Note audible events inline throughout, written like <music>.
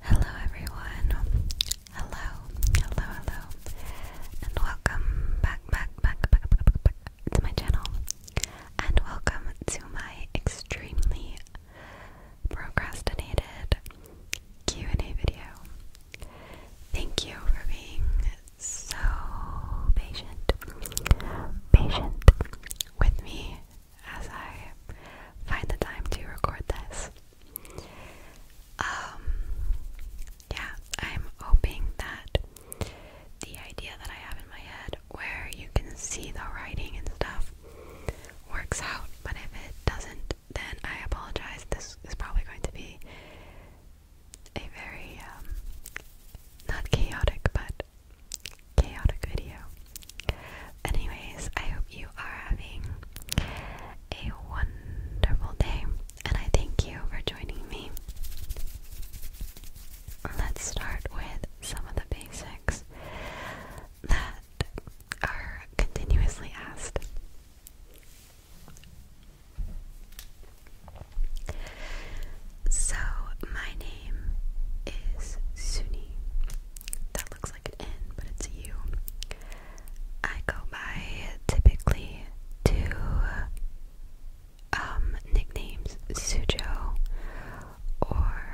Hello everyone. Hello, hello, hello. And welcome back, back, back, back, back, back, back to my channel. And welcome to my extremely procrastinated Q&A video. Thank you for being so patient. Patient with me as I find the time to record this. Um, yeah, I'm hoping that the idea that I have in my head, where you can see the writing and stuff, works out. But if it doesn't, then I apologize. This is probably going to be a very um, not chaotic, but chaotic video. Anyways, I hope you are having a wonderful day, and I thank you for joining me. Let's start with some of the basics that are continuously asked. So, my name is Suni. That looks like an N, but it's a U. I go by typically two um, nicknames Sujo or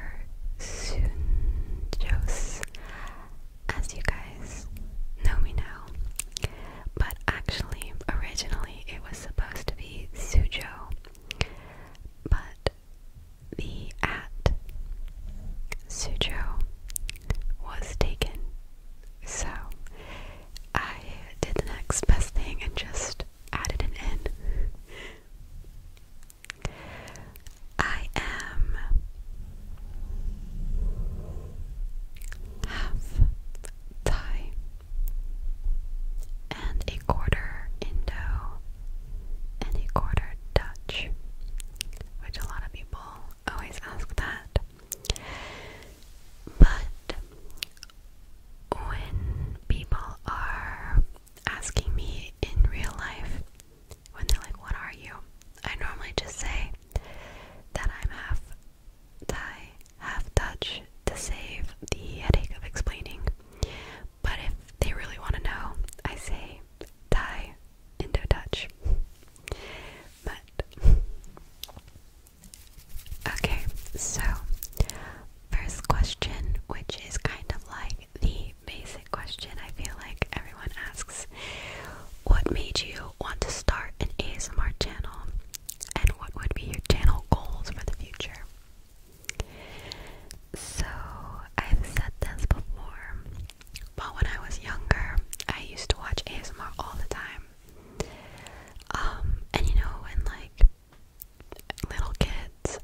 Sunjos, as you guys know me now. But actually, originally it was supposed to be Sujo, but the at Suzhou was taken. So I did the next best thing and just added an N. I am half Thai and a quarter Indo and a quarter Dutch, which a lot of people always ask that. But when people are asking me in real life, when they're like, What are you? I normally just say that I'm half Thai, half Dutch to save the headache of explaining. But if they really want to know, I say die, Indo Dutch. But okay, so first question, which is kind of like the basic question I feel like everyone asks What made you want to start an ASMR channel? And what would be your channel goals for the future? So, I've said this before, but when I was younger, I used to watch ASMR all the time. Um, and you know, when like little kids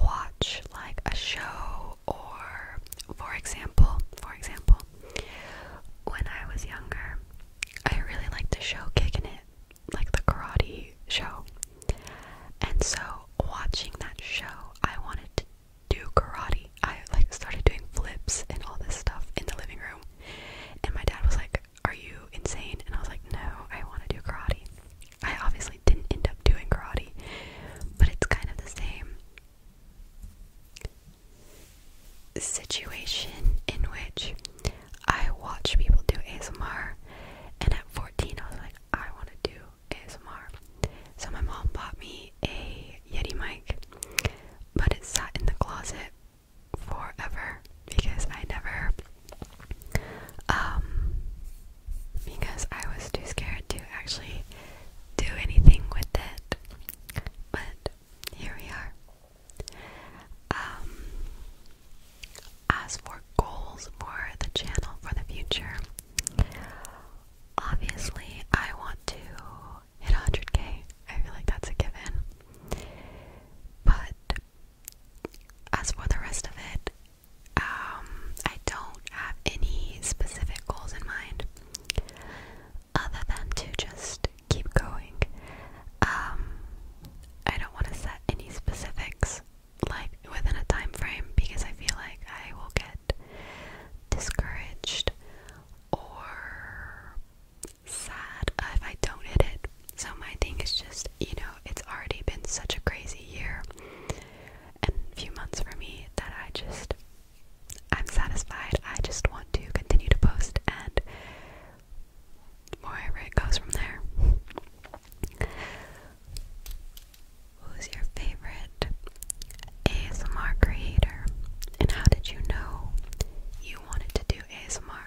watch like a show, or for example, for example, when I was younger, I really liked the show Kickin' It like the karate show. And so watching that show, I wanted to do karate. I like started doing flips and all this stuff in the living room. And my dad was like, "Are you insane?" And I was like, "No, I want to do karate." I obviously didn't end up doing karate, but it's kind of the same situation in which I watch people do ASMR, and at 14, I was like, I want to do ASMR. So my mom bought me a Yeti mic, but it sat in the closet forever because I never, um, because I was too scared to actually do anything with it. But here we are. Um, as for goals for the channel for the future, obviously I want to hit 100k. I feel like that's a given. But as for the rest of it, um, I don't have any specific goals in mind other than to just keep going. Um, I don't want to set any specifics like within a time frame because I feel like I will get discouraged or sad if I don't hit it. So my thing is just, you know, it's already been such a crazy year and few months for me that I just I'm satisfied. I just want to continue to post and wherever it goes from there. Who's your favorite ASMR creator? And how did you know you wanted to do ASMR?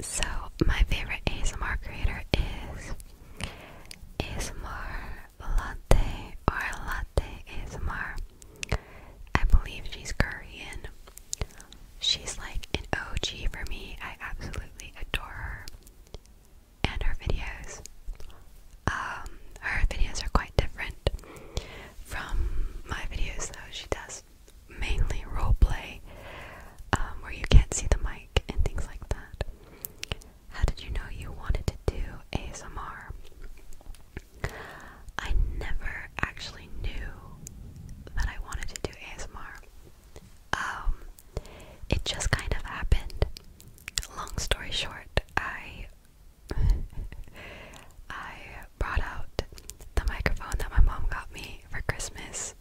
So, my favorite ASMR creator is ASMR Latte or Latte ASMR. I believe she's Korean. She's like an OG for me. I absolutely adore her and her videos. Um, her videos are quite different from my videos, though. She does mainly role play, um, where you can't see the mic and things like that. How did you know you wanted to do ASMR? I never actually knew that I wanted to do ASMR. Um, it just kind of happened. Long story short, I <laughs> I brought out the microphone that my mom got me for Christmas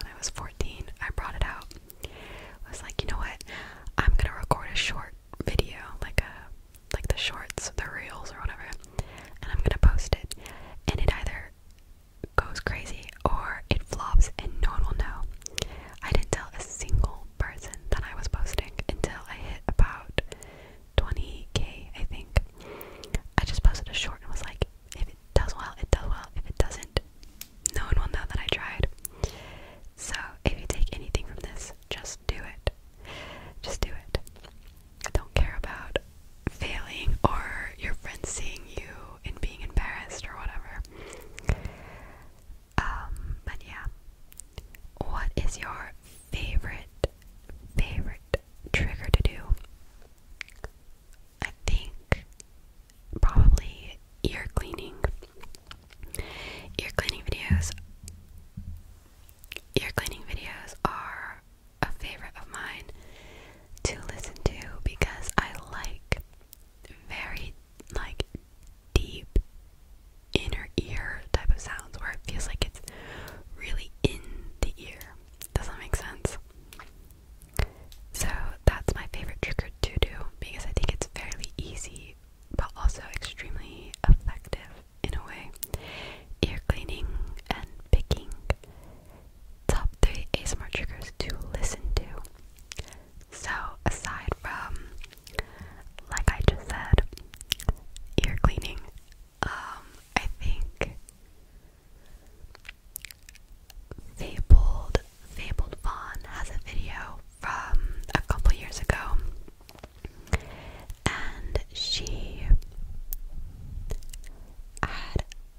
when I was 14. I brought it out. I was like, you know what? I'm gonna record a short video, like a like the shorts, the reels or whatever, and I'm gonna post it. in it either goes crazy or it flops and no one will know. I didn't tell a single person that I was posting until I hit about 20k, I think. I just posted a short and was like, if it does well, it does well. If it doesn't, no one will know that I tried. So if you take anything from this, just do it. Just do it. I don't care about failing or your friends seeing you and being embarrassed or whatever. Um, but yeah. What is your favorite, favorite trigger to do? I think probably ear cleaning. Ear cleaning videos. Ear cleaning videos are a favorite of mine to listen to because I like very like deep inner ear type of sounds where it feels like it's really in the ear. Does that make sense? So that's my favorite trick trigger to do because I think it's fairly easy but also extremely effective in a way. Ear cleaning and picking top 3 ASMR triggers to listen to. So, aside from, like I just said, ear cleaning, um, I think Fabled, Fabled Vaughn has a video from a couple years ago, and she had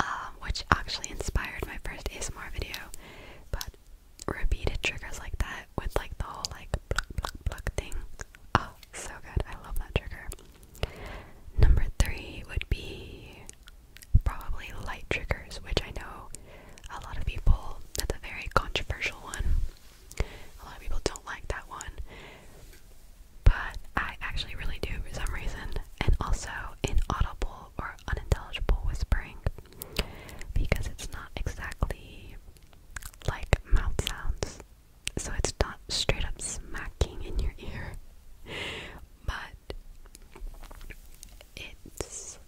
Um, which actually inspired my first ASMR video. But repeated triggers like that with like the whole like pluck pluck pluck thing. Oh, so good. I love that trigger. Number three would be probably light triggers, which I know a lot of people, that's a very controversial one. A lot of people don't like that one. But I actually really do for some reason. And also, in Audible, or unintelligible whispering because it's not exactly like mouth sounds. So it's not straight up smacking in your ear, <laughs> but it's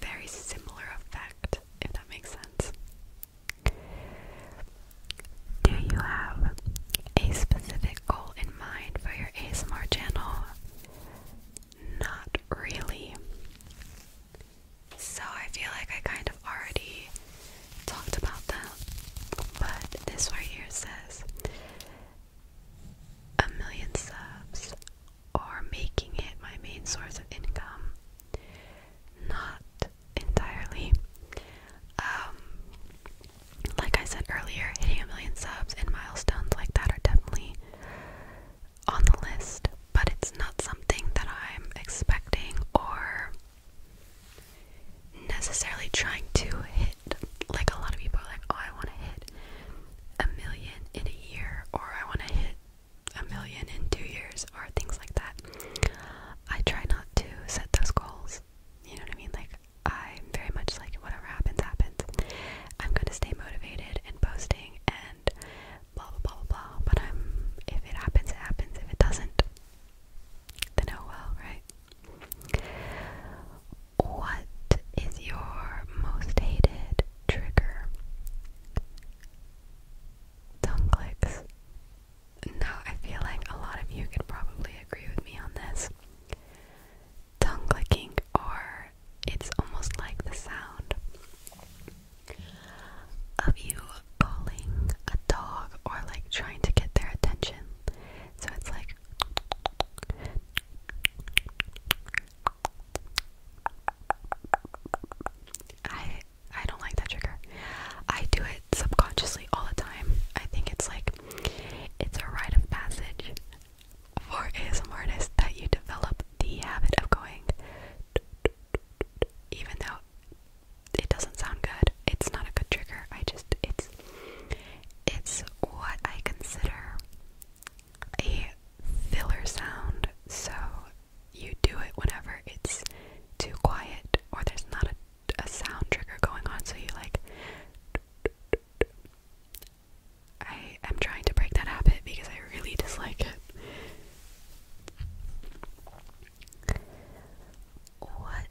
very similar effect, if that makes sense. Do you have a specific goal in mind for your ASMR channel? Not really. So I feel like I kind of already talked about that, but this right here says a million subs or making it my main source of income. Not entirely. Um, like I said earlier, hitting a million subs and milestones like that are definitely on the list, but it's not something that I'm expecting or necessarily trying to hit. Like a lot of people are like, oh, I want to hit a million in a year, or I want to hit a million in two years, or things like that. I try not to set those goals. You know what I mean? Like, I'm very much like whatever happens, happens. I'm gonna stay motivated and posting and blah blah blah blah blah. But I'm um, if it happens, it happens. If it doesn't, then oh well, right? What is your most hated trigger? Tongue clicks. Now I feel like a lot of you could probably agree with me on this. Tongue clicking or it's almost like the sound of you calling a dog or like trying to get their attention. So it's like I I don't like that trigger. I do it subconsciously all the time. I think it's like it's a rite of passage for ASM artists that you develop the habit of going even though it doesn't sound good, it's not a good trigger. I just it's it's what I consider a filler sound. So you do it whenever it's too quiet or there's not a, a sound trigger going on. So you like I am trying to break that habit because I really dislike it. What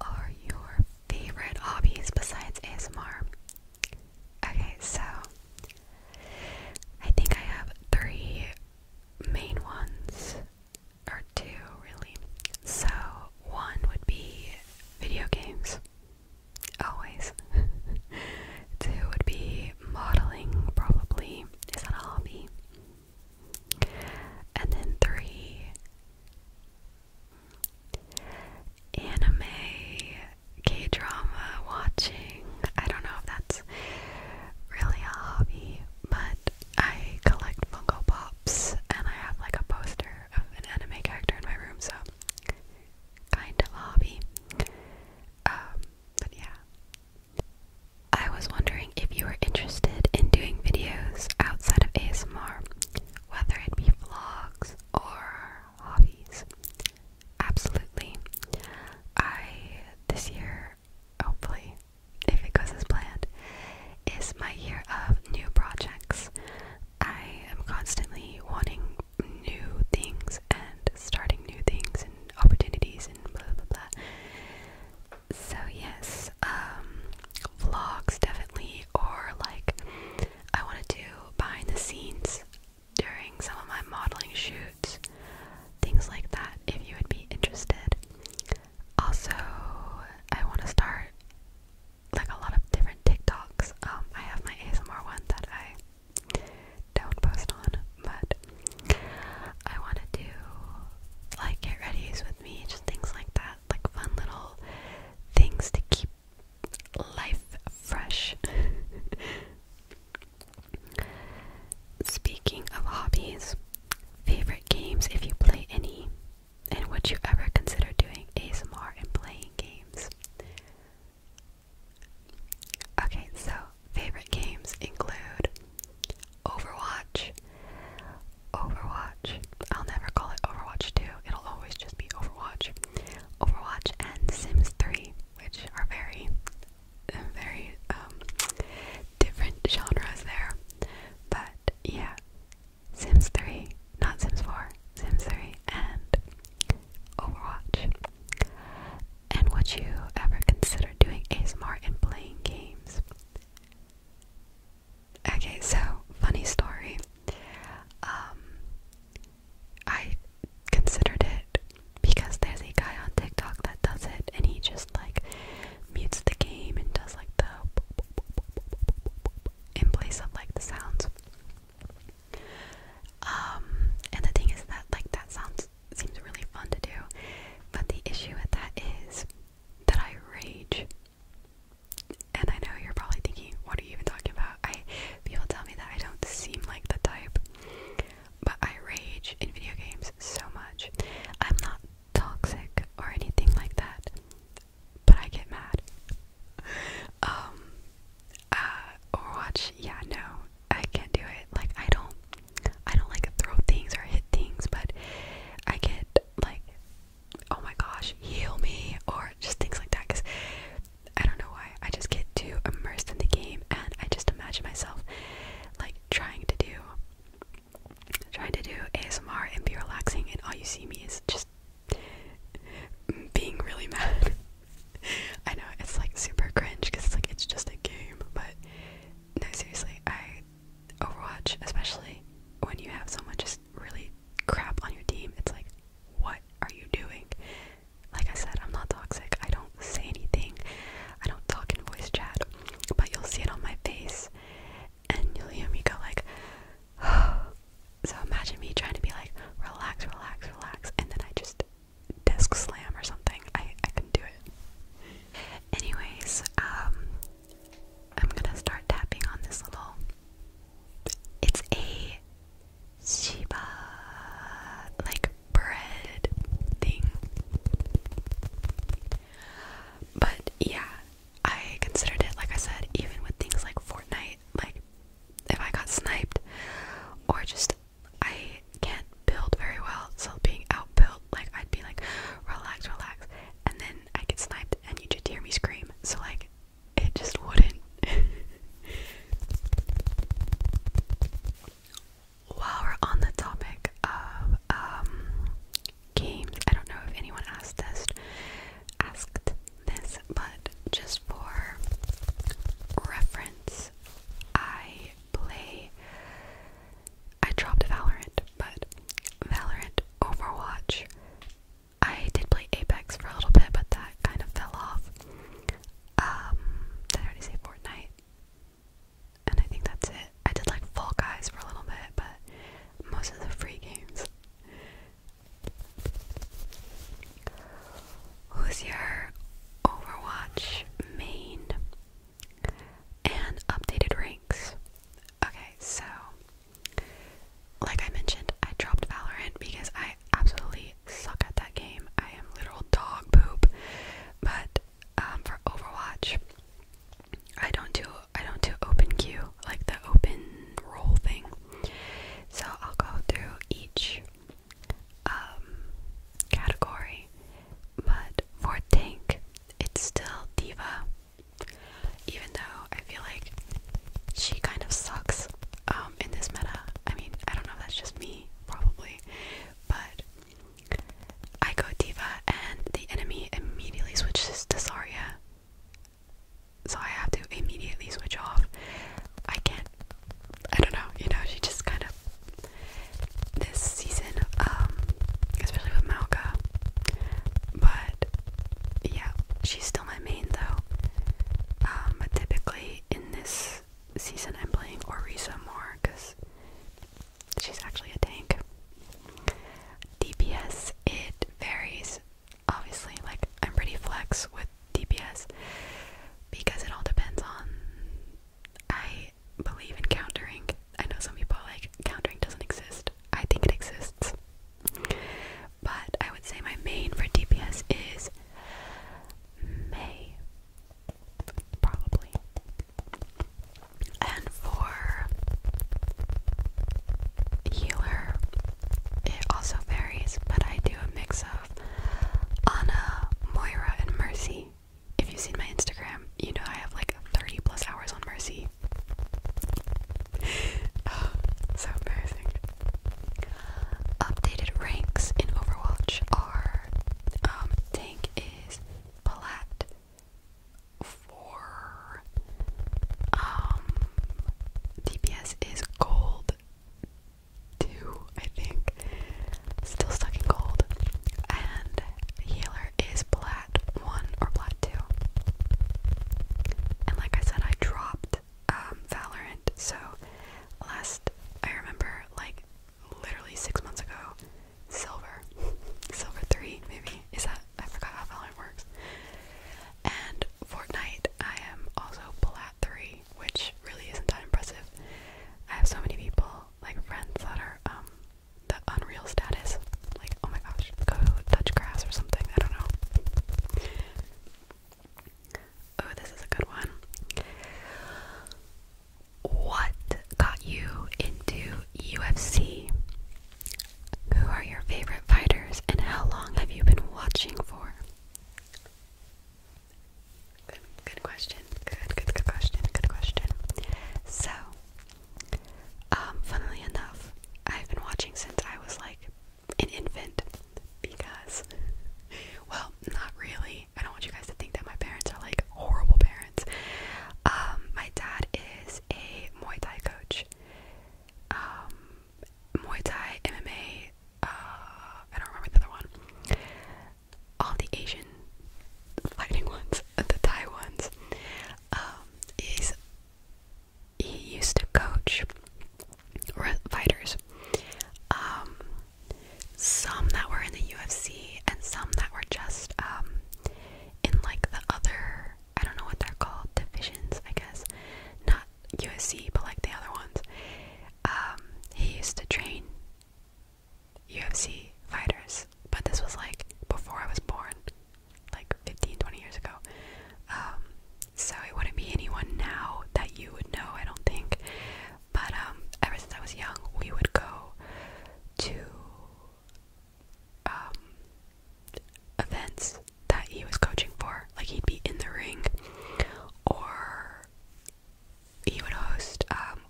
are your favorite hobbies besides ASMR? Okay, so I think I have three main ones, or two really. So, one would be video games always. Two <laughs> would be modeling, probably. Is that a hobby? And then three, anime, K drama watching. I don't know if that's really a hobby, but I collect Funko Pops and I have like a poster of an anime character in my room, so kind of hobby. Um, but yeah. I was wondering if you were interested in doing videos outside of ASMR, whether it be vlogs or hobbies. Absolutely. I, this year, hopefully, if it goes as planned, is my year of new projects. I am constantly wanting new things and starting new things and opportunities and blah blah blah. So yes, um, vlogs definitely, or like I want to do behind the scenes during some of my modeling shoots, things like that. If you would be interested, also I want to start like a lot of different TikToks. Um, I have my ASMR one that I don't post on, but I want to do like get ready with me, just things like that, like fun little things to keep life fresh. <laughs> Speaking of hobbies, favorite games if you play any, and would you ever consider doing ASMR and playing games? Okay, so favorite games include Overwatch. Overwatch. I'll never call it Overwatch 2. It'll always just be Overwatch. Overwatch and Sims 3, which are very, very um, different genres there. But yeah, Sims 3 not Sims 4, Sims 3, and Overwatch. And would you ever consider doing ASMR and playing games? Okay, so funny story. Um, I considered it because there's a guy on TikTok that does it, and he just like mutes the game and does like the in place of like the sounds. Um, and the thing is that like that sounds seems really fun to do, but the issue with that is that I rage. And I know you're probably thinking, what are you even talking about? I people tell me that I don't seem like the type, but I rage in video games so much. I'm not toxic or anything like that, but I get mad. <laughs> Um, uh, or watch, yeah, no, I can't do it, like, I don't, I don't, like, throw things or hit things, but I get, like, oh my gosh, heal me, or just things like that, because I don't know why, I just get too immersed in the game, and I just imagine myself, like, trying to do, trying to do ASMR and be relaxing, and all you see me is just being really mad. <laughs> I know it's like super cringe because it's like it's just a game, but no, seriously, I Overwatch, especially when you have someone just really crap on your team, it's like, what are you doing? Like I said, I'm not toxic. I don't say anything. I don't talk in voice chat, but you'll see it on my face, and you'll hear me go like. <sighs> Oh, so imagine me trying to be like, relax, relax, relax, and then I just desk slam or something. I, I could do it. Anyways, um, I'm gonna start tapping on this little. It's a Shiba like bread thing. But yeah, I considered it like I said, even with things like Fortnite, like if I got sniped, or just I can't build very well, so being outbuilt, like I'd be like, relax, relax, and then I get sniped, and you just hear me scream. So like, it just wouldn't. <laughs> While we're on the topic of um games, I don't know if anyone asked this asked this, but just for reference, I play. I dropped Valorant, but Valorant, Overwatch. I did play Apex for a little bit, but that kind of fell off. Um, did I already say Fortnite? And I think that's it. I did like Fall Guys for a little bit, but most of the free games Who's your Overwatch main? And updated ranks. Okay, so like I mentioned, I dropped Valorant because I absolutely suck at that game. I am literal dog poop. But um, for Overwatch, I don't do I don't do open queue like the open roll thing. So I'll go through each um, category, but for Tank, it's still Diva, even though I feel like she kind of sucks um, in this meta. I mean, I don't know if that's just me, probably, but I go Diva, and the enemy immediately switches to Saria so I have to immediately switch off. I can't. I don't know. You know, she just kind of this season, um, especially with Malka. But yeah, she's still my main though. Um, but typically in this season, I'm playing Orisa more because she's actually a tank. DPS it varies obviously like I'm pretty flex with DPS because it all depends on I believe in countering. I know some people are like countering doesn't exist. I think it exists. But I would say my main for DPS is May. Probably. And for healer, it also varies, but I do a mix works Anna, Moira, and Mercy. If you've seen my Instagram, you know I have like 30 plus hours on Mercy. <sighs> so embarrassing. Updated ranks in Overwatch are um, Tank is Plat 4, um, DPS is Gold two, I think. Still stuck in gold. And healer is plat one or plat two. And like I said, I dropped um Valorant, so last I remember like literally six months ago, silver. <laughs> Silver three, maybe. Is that I forgot how Valorant works. And Fortnite, I am also black three, which really isn't that impressive. I have so many people, like friends, that are um the unreal status. Like, oh my gosh, go touch grass or something. I don't know. Oh, this is a good one. What got you into UFC? Who are your favorite fighters and how long have you been watching for? Good, question. Good, good, good question. Good question. So, um, funnily enough, I've been watching since I was like an infant because, well, not really. I don't want you guys to think that my parents are like horrible parents. Um, my dad is a Muay Thai coach. Um, Muay Thai, MMA, uh, I don't remember the other one. All the Asian fighting <laughs> ones, the Thai ones. Um, he used to coach fighters, um, some that were in the UFC and some that were just um, in like the other, I don't know what they're called, divisions, I guess, not not USC, but like the other ones. Um, he used to train UFC fighters, but this was like before I was born, like 15, 20 years ago. Um, so it wouldn't be anyone now that you would know, I don't think. But um, ever since I was young, we would go to events that he was coaching for. Like he'd be in the ring, or he would host um,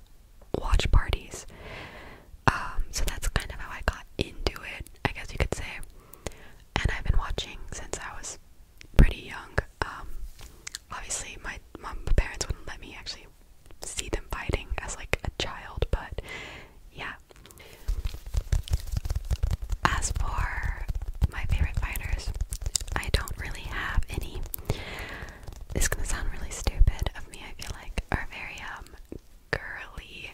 watch parties. Um, so that's kind of how I got into it, I guess you could say. And I've been watching since I was pretty young. Um, obviously, my, my parents wouldn't let me actually see them fighting as like a child, but yeah. As for my favorite fighters, I don't really have any. It's gonna sound really stupid of me, I feel like, or very um girly.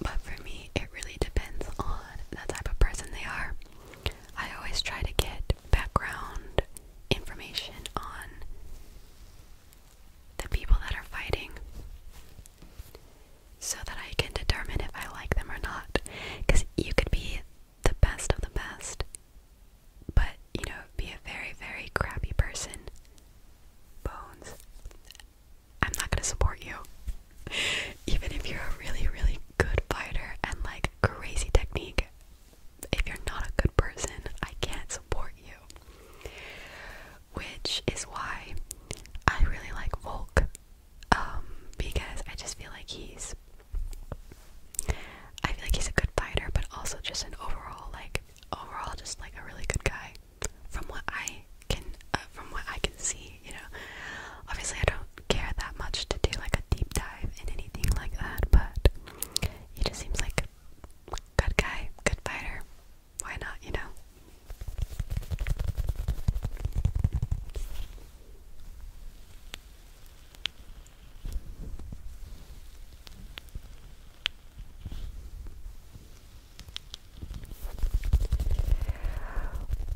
But for me, it really depends on the type of person they are. I always try to get background information on the people that are fighting so that I can determine if I like them or not. Because you could be the best of the best, but you know, be a very, very crappy person. Bones. I'm not gonna support you. <laughs> Even if you're a really, really good fighter and like crazy technique, if you're not a good person, I can't support you. Which is why I really like Volk um, because I just feel like he's I feel like he's a good fighter, but also just an overall like overall just like a really good guy from what I can uh, from what I can see, you know. Obviously, I don't care that much to do like a deep dive in anything like that, but he just seems like a good guy, good fighter. Why not, you know?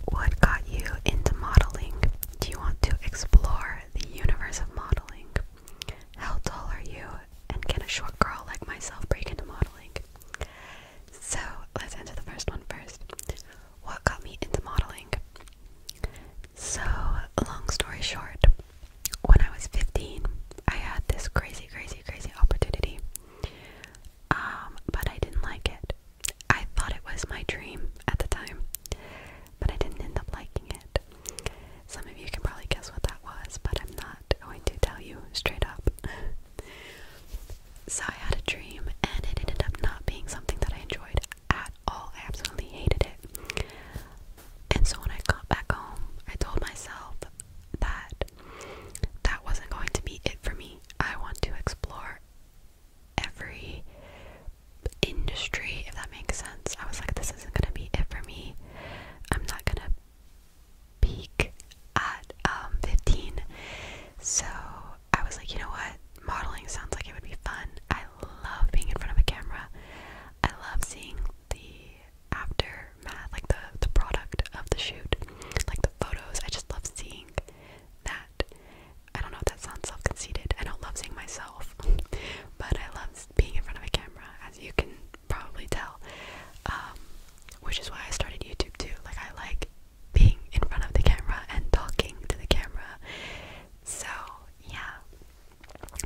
What got you into modeling? Do you want to explore the universe of modeling? How tall are you? And can a short girl like myself break into modeling? So let's answer the first one first. What got me into modeling? So, long story short, when I was 15, I had this crazy, crazy, crazy opportunity. Um, but I didn't like it. I thought it was my dream at the time, but I didn't end up liking it. Some of you can probably guess what that was, but I'm not going to tell you straight up. <laughs> So I had a dream, and it ended up not being something that I enjoyed at all. I absolutely hated it. And so when I got back home, I told myself that that wasn't going to be it for me. I want to explore every industry, if that makes sense. I was like, this isn't going to be it for me. I'm not going to peak at um, 15. So I was like, you know what? Modeling sounds like it would be fun. I love being in front of a camera. I love seeing the aftermath, like the the product of the shoot, like the photos. I just love seeing that. I don't know if that sounds self-conceited. I don't love seeing myself, <laughs> but I love being in front of a camera, as you can probably tell. Um, which is why I started YouTube too. Like I like being in front of the camera and talking to the camera. So yeah,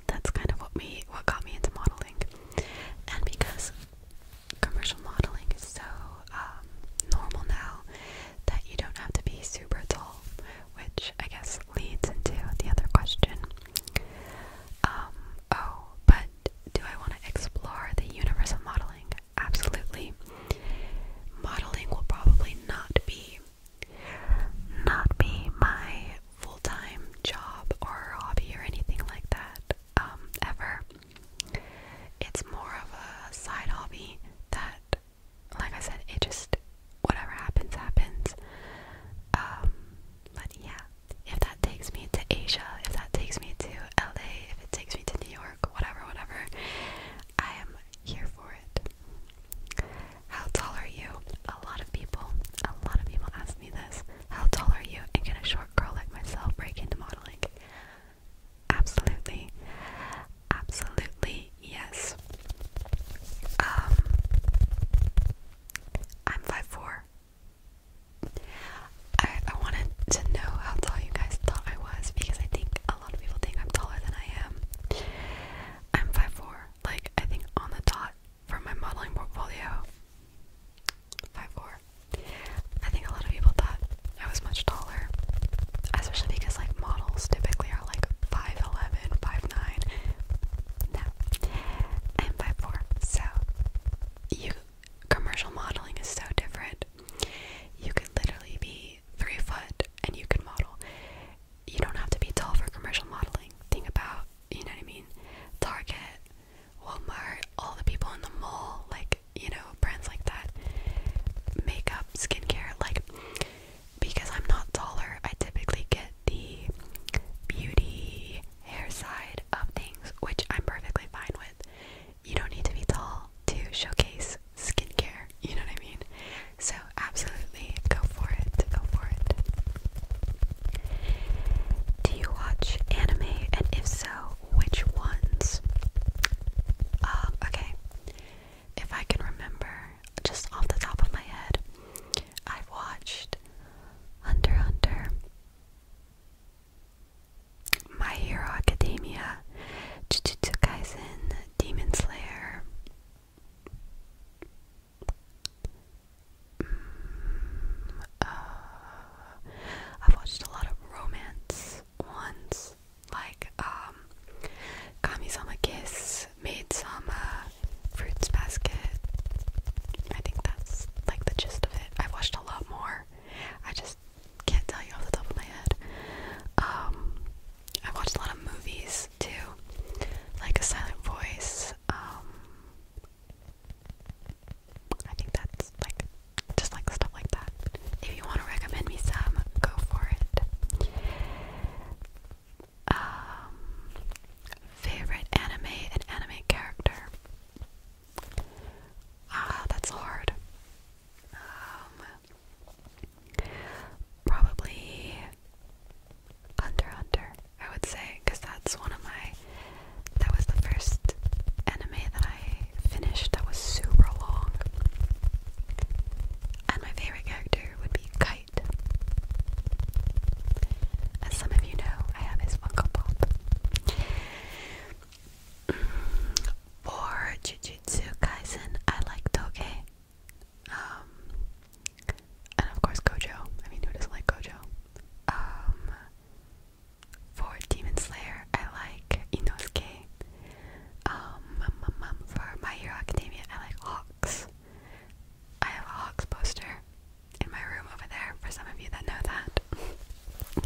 that's kind of what me what got me into modeling, and because commercial modeling is so um, normal now that you don't have to be super tall, which I guess leads into the other question. Um, oh, but do I want to explore the universe of modeling? absolutely. Modeling will probably not be not be my full-time job or hobby or anything like that um, ever. It's more of a side hobby that like I said, it just whatever happens happens. Um, but yeah, if that takes me to Asia, if that takes me to LA, if it takes me to New York, whatever, whatever, I am here for it. How tall are you? A lot of people, a lot of people ask me this. How tall are you? And can a short girl like myself break into modeling? Absolutely. Absolutely, yes. Um I'm 5'4. I I wanted to know how tall you guys thought I was because I think a lot of people think I'm taller than I am. I'm 5'4, like I think on the dot for my modeling portfolio. 5'4. I think a lot of people thought I was much taller, especially because like models typically are like 5'11, 5'9. No, I'm 5'4, so you commercial modeling is so different. You could literally be three foot and you can model. You don't have to be tall for commercial modeling. Think about, you know what I mean? Target, Walmart, all the people in the mall, like, you know, brands like that. Makeup, skincare, like, because I'm not taller, I typically get the beauty hair side of things, which I'm perfectly fine with you don't need to be tall to showcase skincare. You know what I mean? So, absolutely, go for it. Go for it. Do you watch anime? And if so, which ones? Um, okay. If I can remember, just off the top of my head, I've watched Hunter Hunter. My Hero Academia, Jujutsu Kaisen, Demon Slayer. Mm, uh, I've watched a lot of romance Once, like um, Kamisama Kiss, Maidsama, Fruits Basket. I think that's like the gist of it. I've watched a lot more. I just can't tell you off the top of my head. Um, I watched a lot of movies too, like A Silent Voice. Um, I think that's like just like stuff like that. If you want to recommend me some, go for it. Um, favorite anime and anime character. Ah, that's hard. Um, Probably Hunter Hunter, I would say, because that's one of my. That was the first anime that I finished that was super long. And my favorite character would be Kite. As some of you know, I have his Funko Pop. For Jujutsu Kaisen, I like Toge. Um, and of course Gojo. I mean, who doesn't like Gojo? Um, for Demon Slayer, I like Inosuke. Um, um, for My Hero Academia, I like Hawks. I have a Hawks poster in my room over there for some of you that know that. <laughs>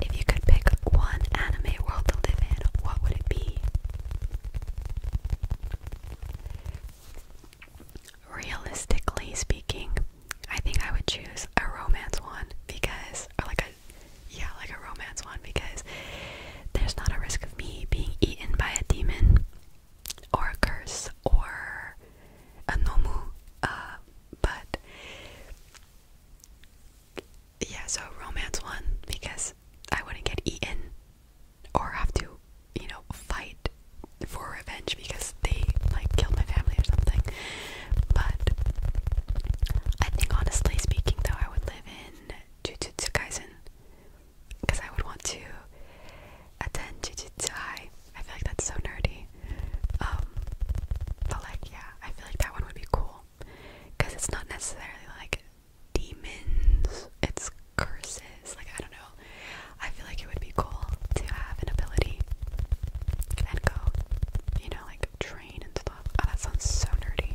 If you could pick one anime world to live in, what would it be? Realistically speaking, I think I would choose a romance one because, or like a, yeah, like a romance one because there's not a risk of me being eaten by a demon or a curse or a nomu, uh, but yeah, so romance one because I wouldn't get eaten or have to, you know, fight for revenge because they like killed my family or something. But I think honestly speaking though I would live in Jujutsu Kaisen because I would want to attend Jujutsu High. I feel like that's so nerdy. Um, but like yeah, I feel like that one would be cool because it's not necessarily like demons, it's curses. Like, I don't know. I feel like it would be cool to have an ability and go, you know, like train and stuff. Oh, that sounds so nerdy.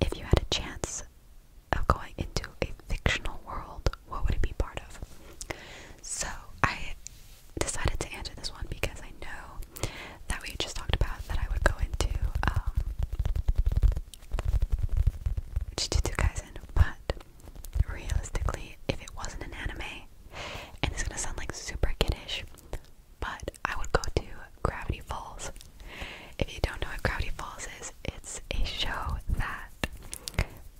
If you had a chance of going into a fictional world, what would it be part of? So, I decided to answer this one because I know that we just talked about that I would go into um Jujutsu Kaisen, but realistically, if it wasn't an anime, and it's gonna sound like super kiddish, but I would go to Gravity Falls. If you don't know what Gravity Falls is, it's a show that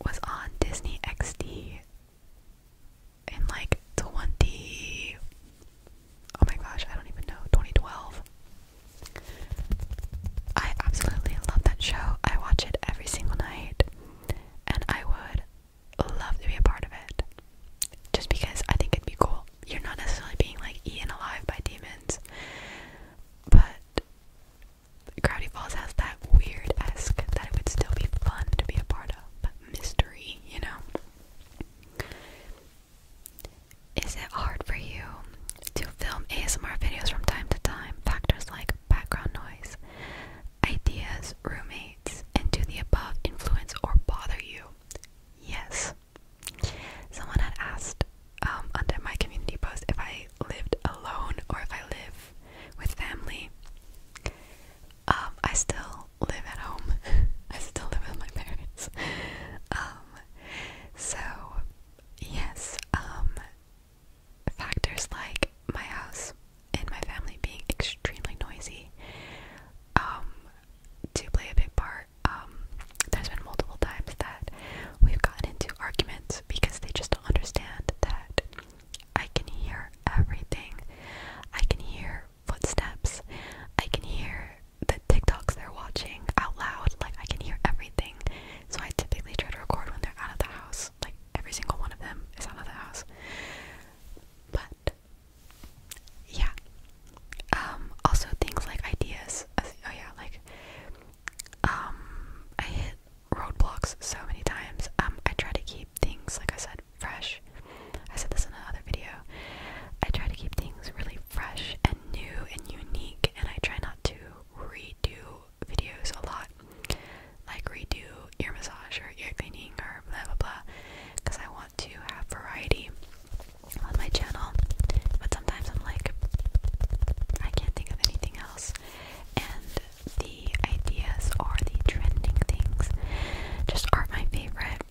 was on Disney XD in like 20 oh my gosh i don't even know 2012 i absolutely love that show i watch it every single night and i would love to be a part of it just because i think it'd be cool you're not necessarily being like eaten alive by demons but Gravity Falls has that weird esque that it would still be fun to be a part of, but mystery, you know? Is it hard for you to film ASMR videos from time to time? Factors like background noise, ideas, roommates, and do the above influence or bother you? Yes. Someone had asked um, under my community post if I lived alone or if I live with family. Um, I still live at home. <laughs> I still live with my parents. <laughs> Um, so yes, um, factors like my house and my family being extremely noisy um, do play a big part. there's been multiple times that we've gotten into arguments because they just don't understand that I can hear everything. I can hear footsteps. I can hear the TikToks they're watching out loud. Like I can hear everything. So I typically try to record when they're out of the house. Like every single one of them is out of the house. But yeah. Um also things like ideas. Oh yeah, like um I hit roadblocks so many times. Um I try to keep things like I said fresh. I said this in another video. I try to keep things really fresh and new and unique, and I try not to redo videos a lot, like redo ear massage or ear cleaning or blah blah blah, because I want to have variety on my channel. But sometimes I'm like, I can't think of anything else, and the ideas or the trending things just aren't my favorite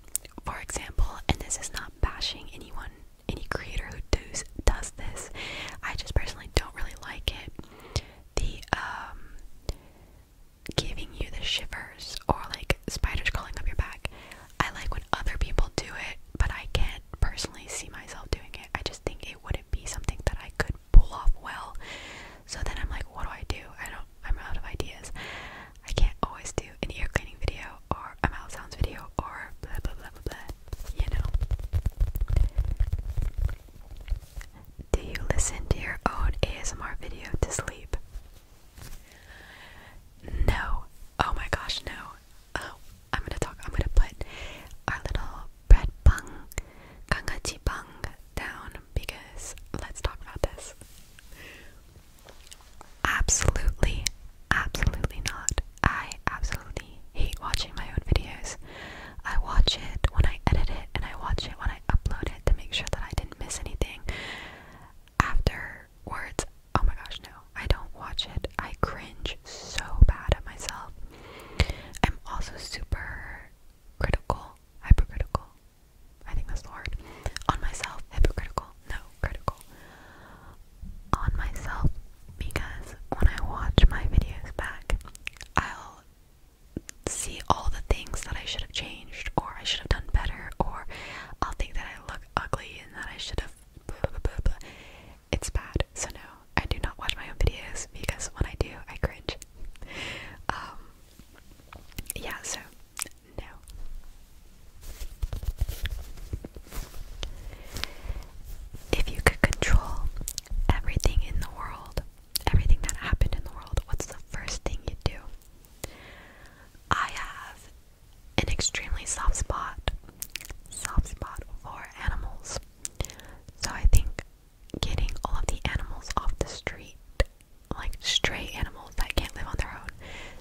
for example, and this is not bashing anyone, any creator who does does this. I just personally don't really like it. The um giving you the shivers or like spiders crawling up your back. I like when other people do it, but I can't personally see myself doing it. I just think it wouldn't be something that I could pull off well. So then I'm like, what do I do? I don't I'm out of ideas. I can't always do an ear cleaning video or a mouth sounds video or blah blah blah blah blah, you know. Do you listen to your own ASMR video to sleep? No. Oh my gosh, no. Oh, I'm gonna talk. I'm gonna put our little bread bang, kangachi bang down because let's talk about this. Absolutely, absolutely not. I absolutely hate watching my own videos. I watch it when I edit it and I watch it when I upload it to make sure that I didn't miss anything. Afterwards, oh my gosh, no, I don't watch it. I cringe so bad at myself. I'm also super critical hypercritical. I think that's the word. On myself, hypocritical. No, critical. On myself, because when I watch my videos back, I'll see all the things that I should have changed, or I should have done better, or I'll think that I look ugly and that I should have. It's bad. So, no, I do not watch my own videos because when I do, I cringe. Um, yeah, so now. If you could control everything in the world, everything that happened in the world, what's the first thing you'd do? I have an extremely soft spot, soft spot for animals. So I think getting all of the animals off the street like stray animals that can't live on their own,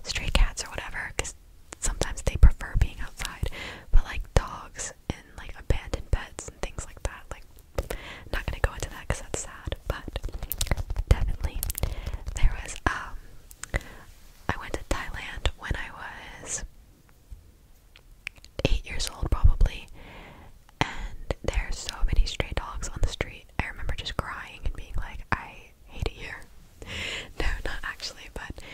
stray cats or whatever, because sometimes they prefer being outside. But like dogs and like abandoned pets and things like that, like not gonna go into that because that's sad. But definitely, there was um, I went to Thailand when I was eight years old probably, and there's so many stray dogs on the street street. I remember just crying and being like, I hate it here. <laughs> no, not actually, but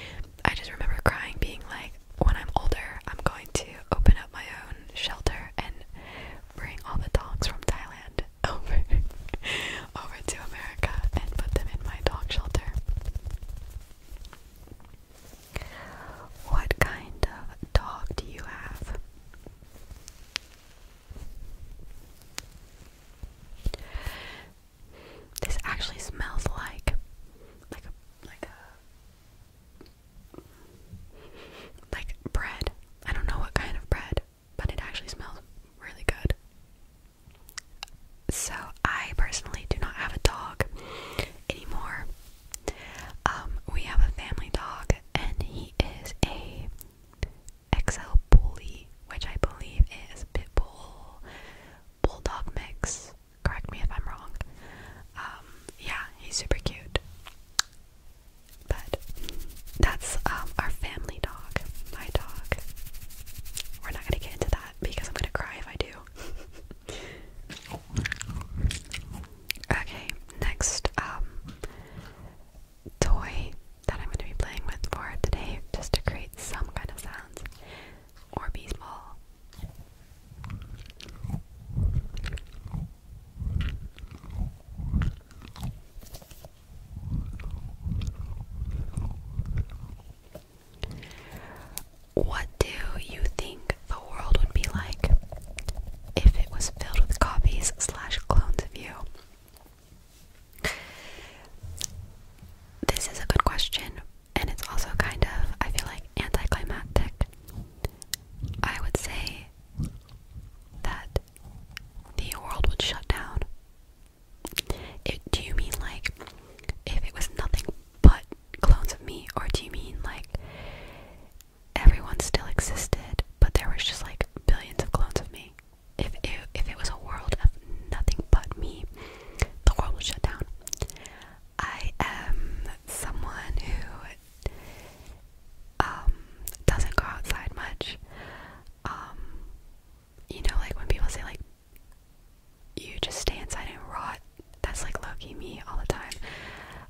I just remember crying, being like, when I'm older, I'm going to open up my own shelter and bring all the dogs from Thailand <laughs> over over to America and put them in my dog shelter. What kind of dog do you have? This actually smells like like like like bread. I don't know what kind of bread, but it actually smells really good. So I personally do not have a dog anymore. Um, we have a family dog, and he is a XL Bully, which I believe is Pitbull Bulldog Mix. Correct me if I'm wrong. Um, yeah, he's super cute. But that's um, our family dog, my dog. We're not gonna get into that because I'm gonna cry if I do. <laughs> okay, next, um, toy that I'm going to be playing with for today just to create some kind of sounds or bees ball. What do you think the world would be like if it was filled with copies slash clones of you? This is a good question, and it's also kind of, I feel like, anticlimactic. I would say that the world would shut down. It, do you mean like if it was nothing but clones of me, or do you mean like everyone still existed, but there was just like billions of clones of me? if it, if it was a world of nothing but me, the world would shut down. I am someone who um, doesn't go outside much. Um, you know, like when people say like you just stay inside and rot. That's like Loki me all the time.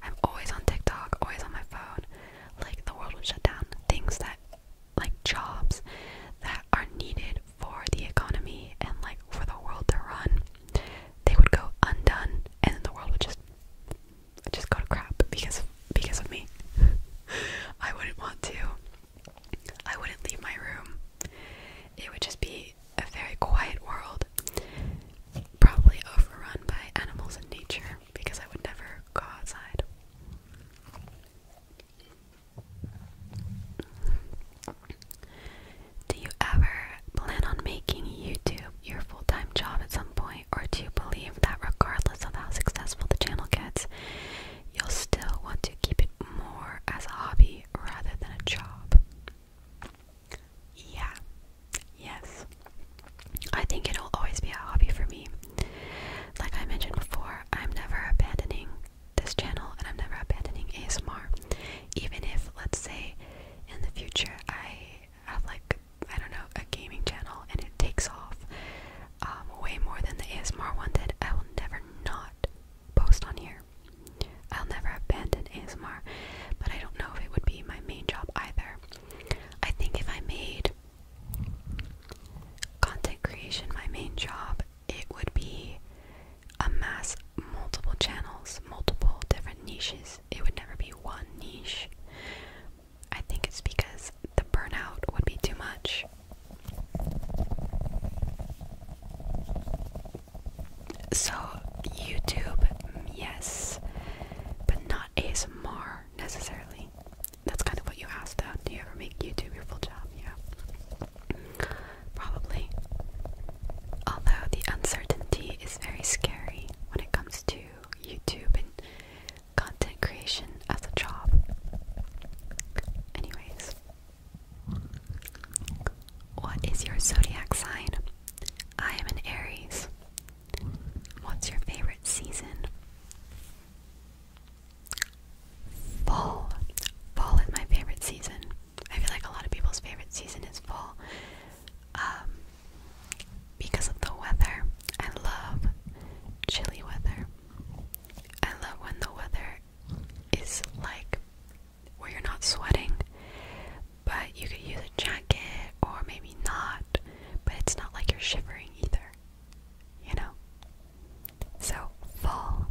I'm always on TikTok, always on my phone. Like the world would shut down. Things that like jobs that are needed for the economy and like for the world to run, they would go undone and then the world would just would just go to crap because because of me. <laughs> I wouldn't want to. I wouldn't leave my room. It would just be a very quiet world, probably overrun by animals and nature because I would never go outside. Do you ever plan on making YouTube your full time job at some point, or do you believe that regardless of how successful the channel gets, you'll still want to keep it more as a hobby rather than a job? Yeah, yes, I think it'll always be a hobby for me. Like I mentioned before, I'm never abandoning this channel and I'm never abandoning ASMR. Even if, let's say, in the future I have like, I don't know, a gaming channel and it takes off um, way more than the ASMR one did, I will never not post on here. I'll never abandon ASMR, but I don't know if it would be my main job either. I think if I made content creation my main job it would be a mass multiple channels multiple different niches it would never be one niche i think it's because the burnout would be too much so youtube yes but not asmr necessarily that's kind of what you asked that. Do you ever make YouTube your full job? Yeah. Probably. Although the uncertainty is very scary when it comes to YouTube and content creation as a job. Anyways. What is your zodiac sign? I am an Aries. What's your favorite season? Fall. Fall is my favorite season. I feel like a lot of people's favorite season is fall. Um, because of the weather. I love chilly weather. I love when the weather is like where you're not sweating, but you could use a jacket or maybe not, but it's not like you're shivering either you know? So, fall.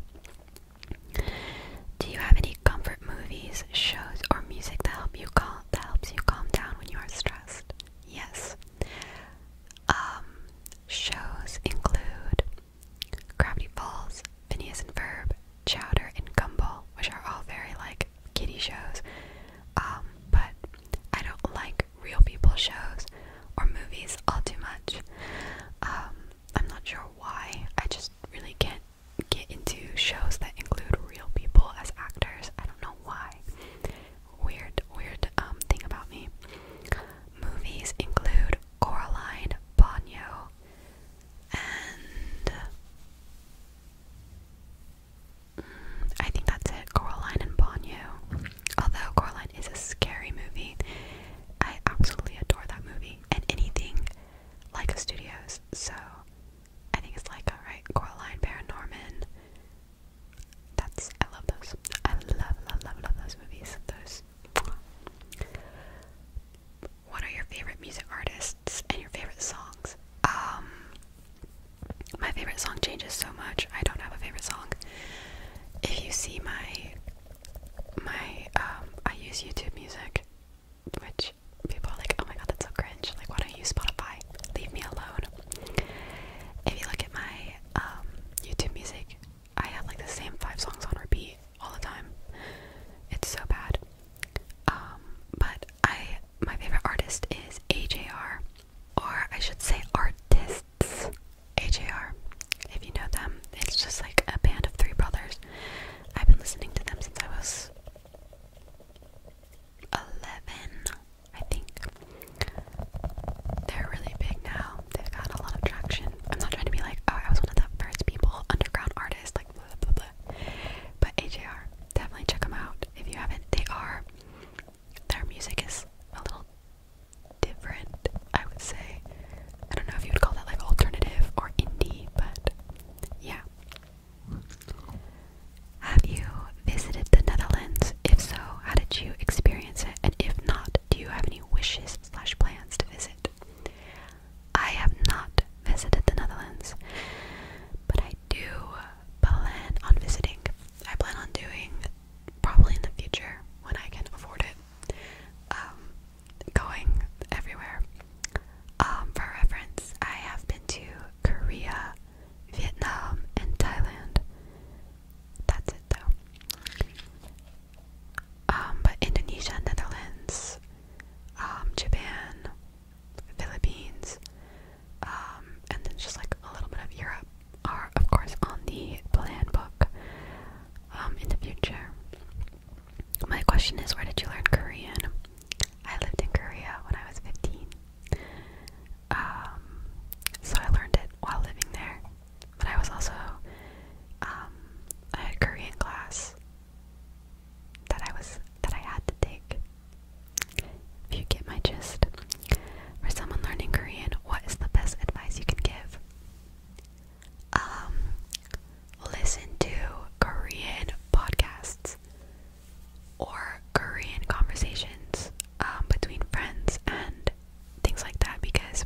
Do you have any comfort movies, shows, or music that help you calm that helps you calm down when you are stressed? Yes. Um, shows include Gravity Falls, Phineas and Ferb, Chowder, and Gumball, which are all very like kiddie shows. Um, but I don't like real people shows or movies all too much. Um, I'm not sure why. I just really can't get into shows that include real people as actors. I don't know why. Weird, weird um, thing about me. Movies include Coraline, Bonio, and I think that's it. Coraline and Ponyo. Although Coraline is a scary movie, I absolutely adore that movie and anything like studios. So I think it's like alright, Coraline, Paranorman. That's I love those. I love, love, love, love those movies. Those. What are your favorite music artists and your favorite songs? Um, my favorite song changes so much. I don't have a favorite song. If you see my my um, I use YouTube music, which people are like, oh my god, that's so cringe. Like why don't you Spotify? Leave me alone. If you look at my um, YouTube music, I have like the same five songs on repeat all the time. It's so bad. Um, but I my favorite artist is AJR or I should say artists, AJR. If you know them, it's just like a band of three brothers. I've been listening to them since I was 11, I think. They're really big now. They've got a lot of traction. I'm not trying to be like, oh, I was one of the first people, underground artist, like blah blah blah. But AJR, definitely check them out if you haven't. They are their music is a little different, I would say. I don't know if you would call that like alternative or indie, but yeah. Have you visited the Netherlands? If so, how did you experience it? And if not, do you have any wishes slash plans to visit? I have not visited the Netherlands, but I do plan on visiting. I plan on doing probably in the future when I can afford it, um, going everywhere. Um, for reference, I have been to Korea, Vietnam, and Thailand. That's it though. Um, but Indonesia, Netherlands, Japan, Philippines, um, and then just like a little bit of Europe are of course on the plan book um, in the future. My question is, where did you learn Korean? I lived in Korea when I was 15, um, so I learned it while living there. But I was also, um, I had Korean class that I was that I had to take. If you get my gist, for someone learning Korean, what is the best advice you can give? Um, listen to Korean podcasts or Korean conversations um, between friends and things like that because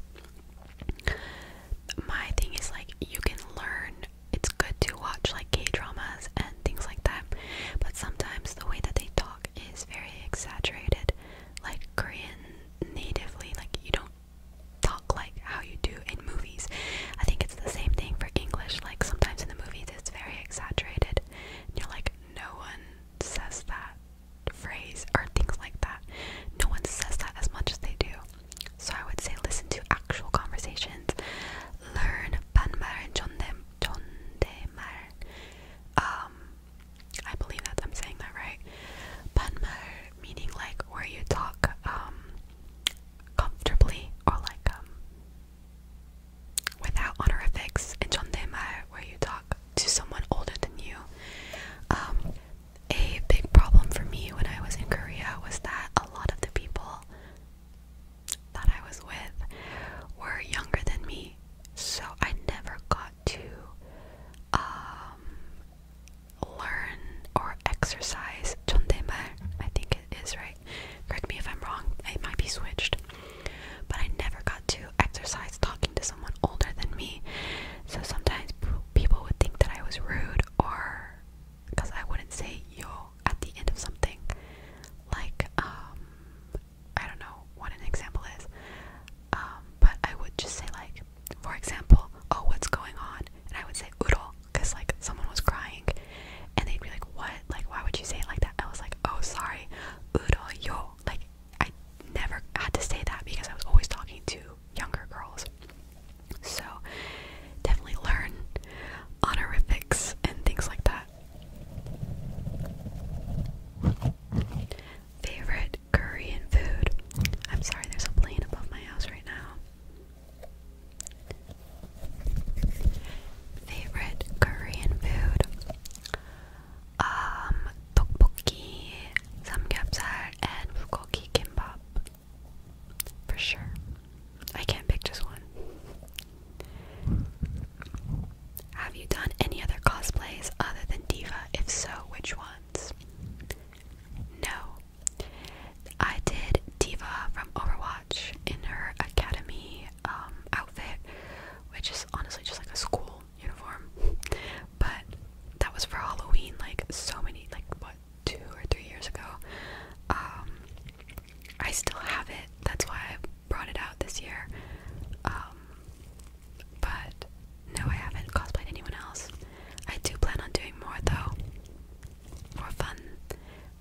my thing is like you can learn it's good to watch like gay dramas and things like that but sometimes the way that they talk is very exaggerated like Korean natively. Like you don't talk like how you do in movies. I think it's the same thing for English. Like sometimes in the movies it's very exaggerated. you're like no one says that phrase or things like that. No one says that as much as they do. So I would say listen to actual conversations. Learn 반말 존댓말. Um I believe that I'm saying that right. Panmar meaning like where you talk um, comfortably or like um without honorifics and chondemar where you talk to someone older than you. Um a big problem for me when I was in Korea was that a lot of the people that I was with were younger than me, so I never got to um, learn or exercise chondaemar, I think it is right. Correct me if I'm wrong, it might be switched. But I never got to exercise talking to someone older than me. So sometimes people would think that I was rude or because I wouldn't say yo at the end of something. Like, um, I don't know what an example is, um, but I would just say like, for example, oh, what's going on? And I would say oodle, cause like someone was crying, and they'd be like, what? Like, why would you say it like that? I was like, oh, sorry, oodle yo. Like, I never had to say that because I was always talking to younger girls. So definitely learn honorifics and things like that. Favorite Korean food. I'm sorry, there's a plane above my house right now. Favorite Korean food. Um, tteokbokki, samgyeopsal, and bulgogi kimbap. For sure. I can't pick just one. Have you done any other cosplays other than Diva? If so, which ones? No. I did Diva from Overwatch in her academy um, outfit, which is honestly just like a school uniform. But that was for Halloween, like so many, like what, two or three years ago. Um, I still have it. That's why I brought it out this year. Um, but no, I haven't cosplayed anyone else. I do plan on doing more though. More fun.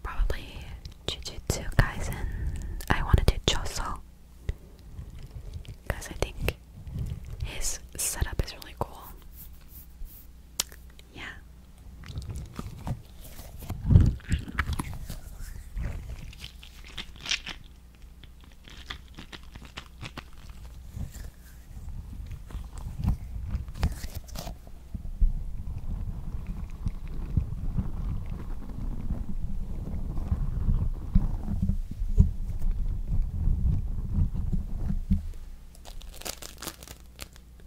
Probably Jujutsu Kaisen. I want to do Choso. Because I think his setup is really cool. Yeah.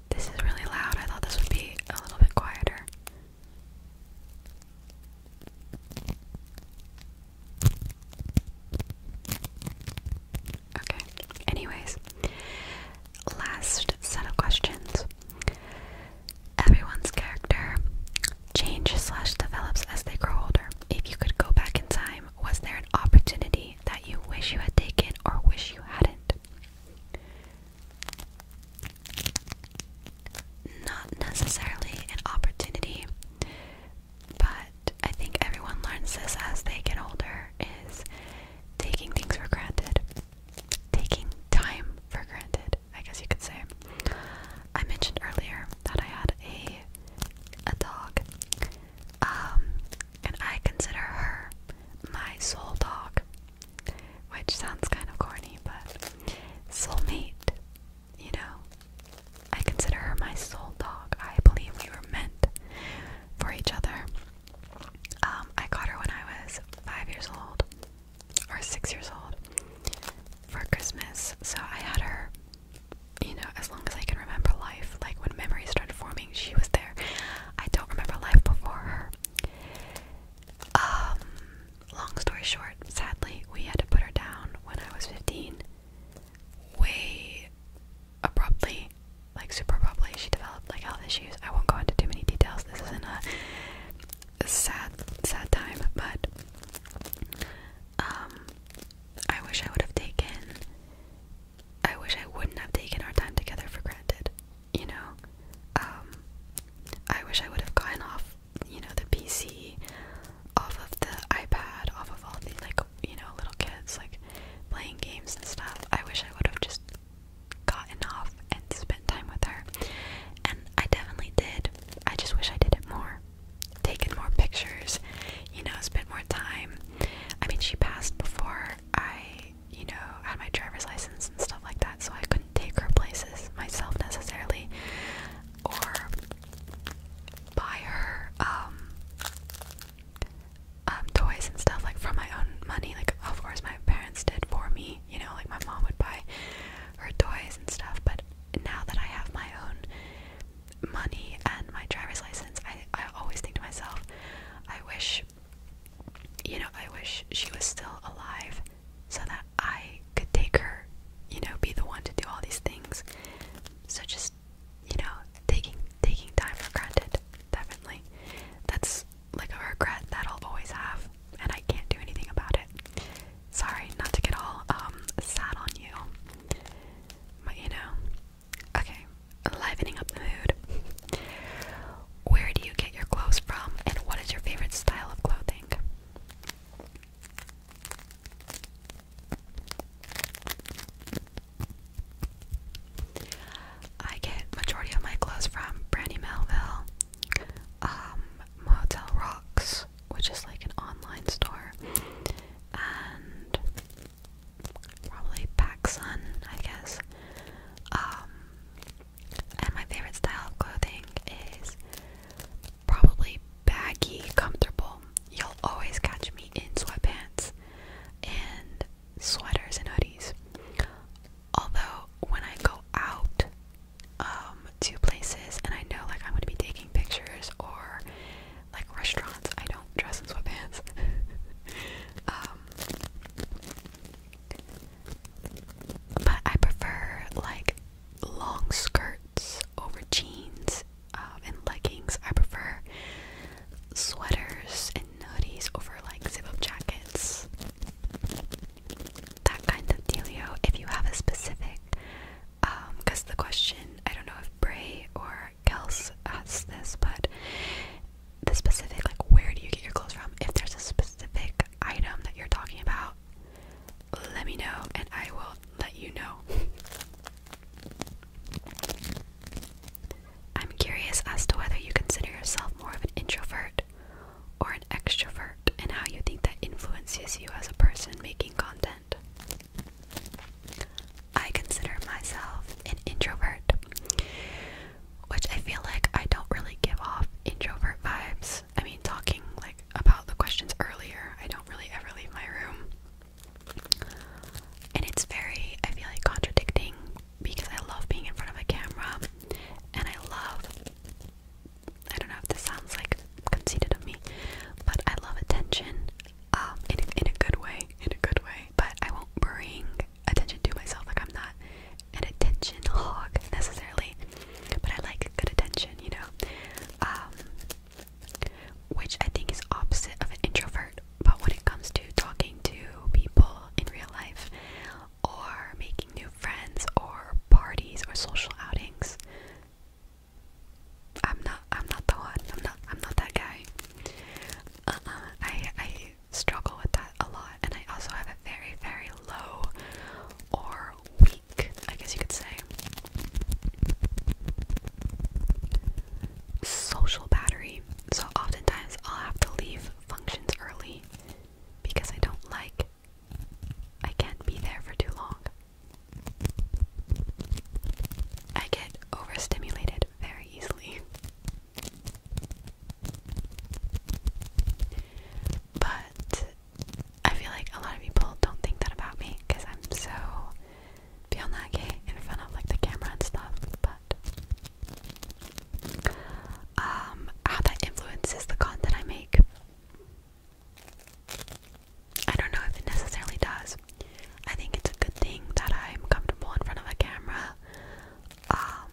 This is really loud. I thought this would be a little bit quieter. Okay, anyways, last set of questions. Everyone's character changes slash develops as they grow older. If you could go back in time, was there an opportunity that you wish you had taken or wish you hadn't? not necessarily an opportunity, but I think everyone learns this as they get older is taking things for granted. Taking time for granted, I guess you could say. I mentioned earlier that I had a a dog. Um, and I consider her my soul dog. Which sounds kind of corny, but soulmate you know, I consider her my soul dog. I believe we were meant for each other. Um, I got her when I was five years old or six years old for Christmas, so I had her, you know, as long as I can remember life. Like when memories started forming, she was there. I don't remember life before her. Um, Long story short, sadly, we had to put her down when I was 15. Way abruptly, like super abruptly, she developed like all these issues. I won't go into too many details. This isn't a sad, sad time, but um, I wish I would have taken. I wish I wouldn't have taken our time together for granted. You know, um, I wish I would have gotten off you know, the PC off of the iPad, off of all the like, you know, little kids like playing games and stuff. I wish I would have just gotten off and spent time with her. And I definitely did. I just wish I did it more. Taken more pictures, you know, spent more time. I mean, she passed before I, you know, had my driver's license and stuff like that, so I couldn't take her places myself necessarily or buy her um, um, toys and stuff like from my own money, like of course my parents did for me, you know, like my mom would buy her toys and stuff, but now that I have my own money and my driver's license, I I always think to myself, I wish you know, I wish she was still alive so that I could take her, you know, be the one to do all these things. So just, you know, taking taking time for granted, definitely. That's like a regret that I'll always have, and I can't do anything about it. Sorry, not to get all um, sad on you, but you know, okay. Livening up the mood. Where do you get your clothes from, and what is your favorite style of clothing? I get majority of my clothes from Brandy Melville, um, Motel Rocks, which is like an online store, and probably PacSun, I guess. Um, and my favorite style of clothing is probably baggy, comfortable. You'll always catch me in sweatpants and sweaters and hoodies. Although, when I go out um, to places and I know like I'm gonna be taking pictures or like restaurants, I don't dress in sweatpants. <laughs> Um, but I prefer like long skirts over jeans um, and leggings. I prefer sweaters and hoodies over like zip up jackets. That kind of dealio. If you have a specific, because um, the question, I don't know if Bray or Kels asked this, but the specific, like, where do you get your clothes from? If there's a specific item that you're talking about, let me know and I will let you know. I'm curious as to whether you consider yourself more of an introvert or an extrovert and how you think that influences you as a person making content. I consider myself an introvert, which I feel like I don't really give off introvert vibes. I mean, talking like about the questions earlier. I don't really ever leave my room. And it's very, I feel like, contradicting because I love being in front of a camera and I love, I don't know if this sounds like conceited of me, but I love attention um, in a good way, in a good way. But I won't bring attention to myself, like I'm not an attention hog necessarily. But I like good attention, you know? Um, which I think is opposite of an introvert, but when it comes to talking to people in real life, or making new friends, or parties, or social outings, I'm not. I'm not the one. I'm not. I'm not that guy. Uh-uh, I I struggle with that a lot, and I also have a very very low or weak I guess you could say. Social battery. So oftentimes I'll have to leave functions early because I don't like I can't be there for too long. I get overstimulated very easily. But I feel like a lot of people don't think that about me because I'm so beyond that gay in front of like the camera and stuff. But um, how that influences the content I make, I don't know if it necessarily does. I think it's a good thing that I'm comfortable in front of a camera. Um,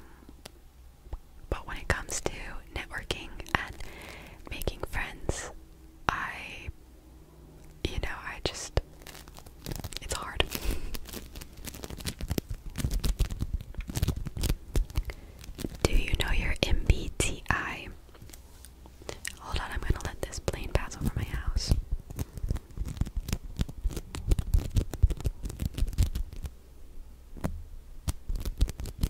but when it comes to networking and making friends, I, you know, I just, it's hard. Do you know your MBTI? Hold on, I'm gonna let this plane pass over my house.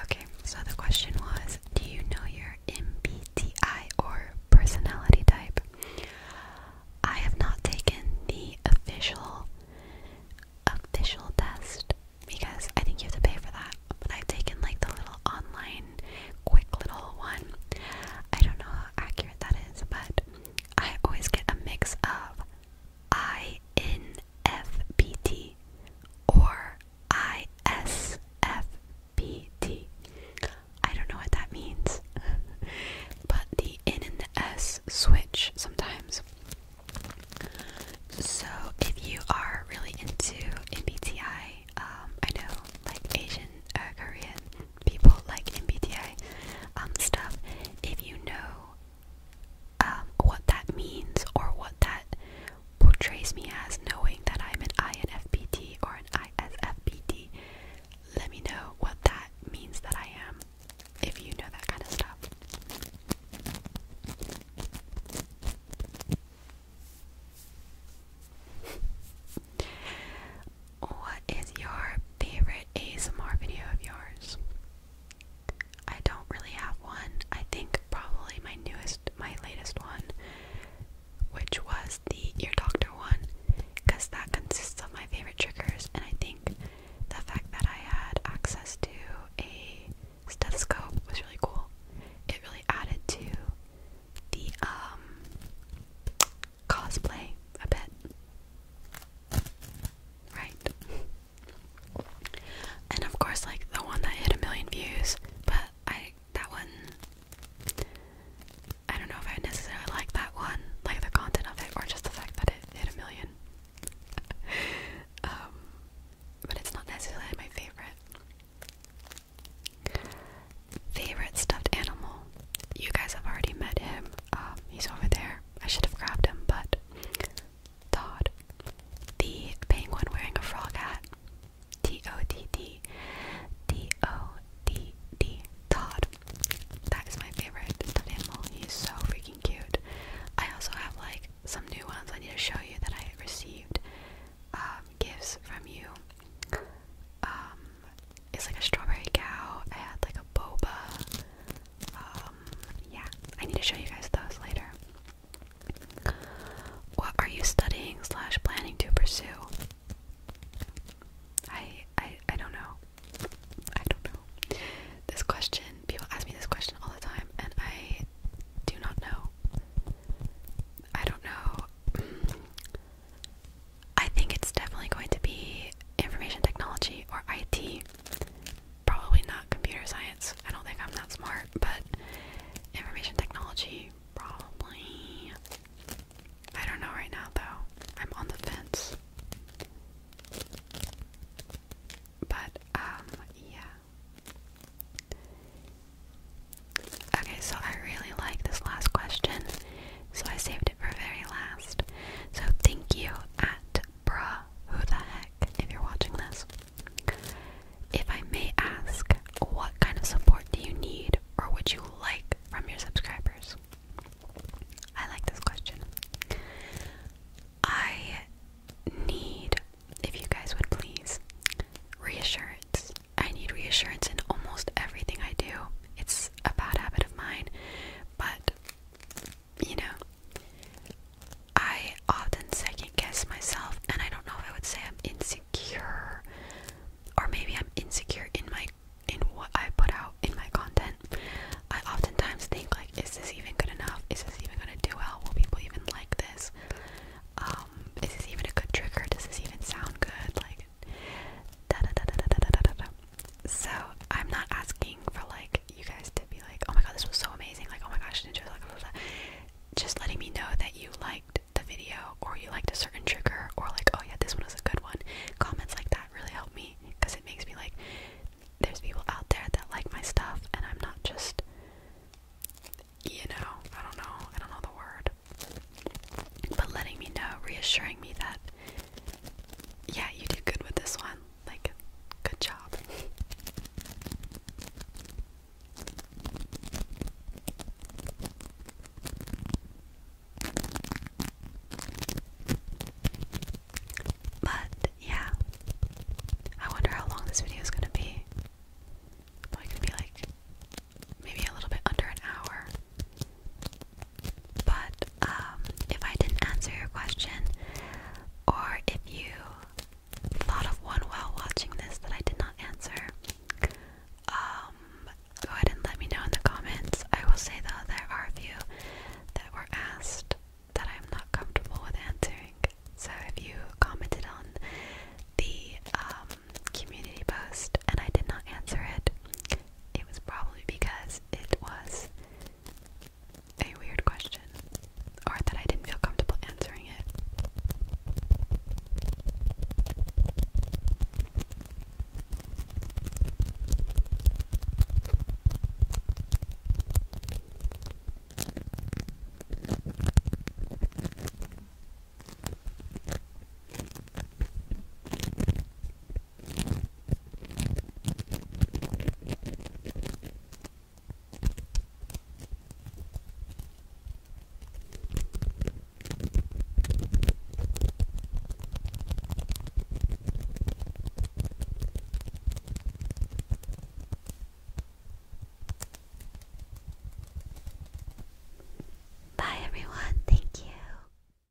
Okay, so the question was Do you know your MBTI or personality type? I have not taken the official official test because I think you have to pay for that. But I've taken like the little online quick little one. I don't know how accurate that is, but I always get a mix of INFPT or ISFPT. don't know what that means, <laughs> but the N and the S switch sometimes. So if you are really into MBTI, um, I know like Asian, uh, Korean, people like MBTI um, stuff, if you know um, what that means or what that portrays me as, knowing that I'm an INFPT or an ISFPT, let me know what that means that I am, if you know that kind of stuff. What is your favorite ASMR video of yours? I don't really have one. I think probably my newest, my latest one, which was the ear doctor one, because that consists of my favorite triggers, and I think the fact that I had access to a stethoscope was really cool. It really added to the um cosplay a bit. Right. And of course like the one that hit a million views, but I that one I don't know if I necessarily like that one, like the content of it, or just the fact that it hit a million. <laughs> um, but it's not necessarily my favorite. Favorite stuffed animal you guys have already met him. Um, he's over there. I should have grabbed him, but Todd, the penguin wearing a frog hat. T O D D T O D D Todd. That is my favorite animal. He's so freaking cute. I also have like some new ones I need to show you that I received um, gifts from you. Um, it's like a strawberry cow. I had like a boba. Um, yeah, I need to show you guys those later. What are you studying slash planning to pursue? I, I I don't know. I don't know. This question, people ask me this question all the time, and I do not know. I don't know. I think it's definitely going to be information technology or IT. Probably not computer science. I don't think I'm that smart, but information technology probably. I don't know right now though. I'm on the fence. But um yeah. Okay, so I really like this last question so I saved it for very last. So thank you at Bra, who the heck if you're watching this. If I may ask, what kind of support do you need or would you like from your subscribers? I like this question. I need, if you guys would please, reassurance. I need reassurance in almost everything I do it's a bad habit of mine, but you know, I often second guess myself, and I don't know if I would say I'm insecure, or maybe I'm insecure in my in what I put out in my content. I oftentimes think like, is this even good enough? Is this even gonna do well? Will people even like this? Um, is this even a good trigger? Does this even sound good? Like, so I'm not asking for like you guys to be like, oh my god, this was so amazing, like oh my gosh, enjoy like just letting me know that you liked the video or you liked a certain trigger or like oh yeah, this one was a good one. Comments like that really help me because it makes me like there's people out there that like my stuff and I'm not just you know, I don't know, I don't know the word. But letting me know, reassuring me that yeah, you did good with this one. Like, good job. But yeah, I wonder how long this video is gonna be. Probably gonna be like maybe a little bit under an hour. But um, if I didn't answer your question, or if you thought of one while watching this that I did not answer, um, go ahead and let me know in the comments. I will say though there are a few that were asked that I'm not comfortable with answering. So if you commented on the um, community post and I did not answer it, it was probably because it was a weird question, or that I didn't feel comfortable answering it. Bye everyone, thank you.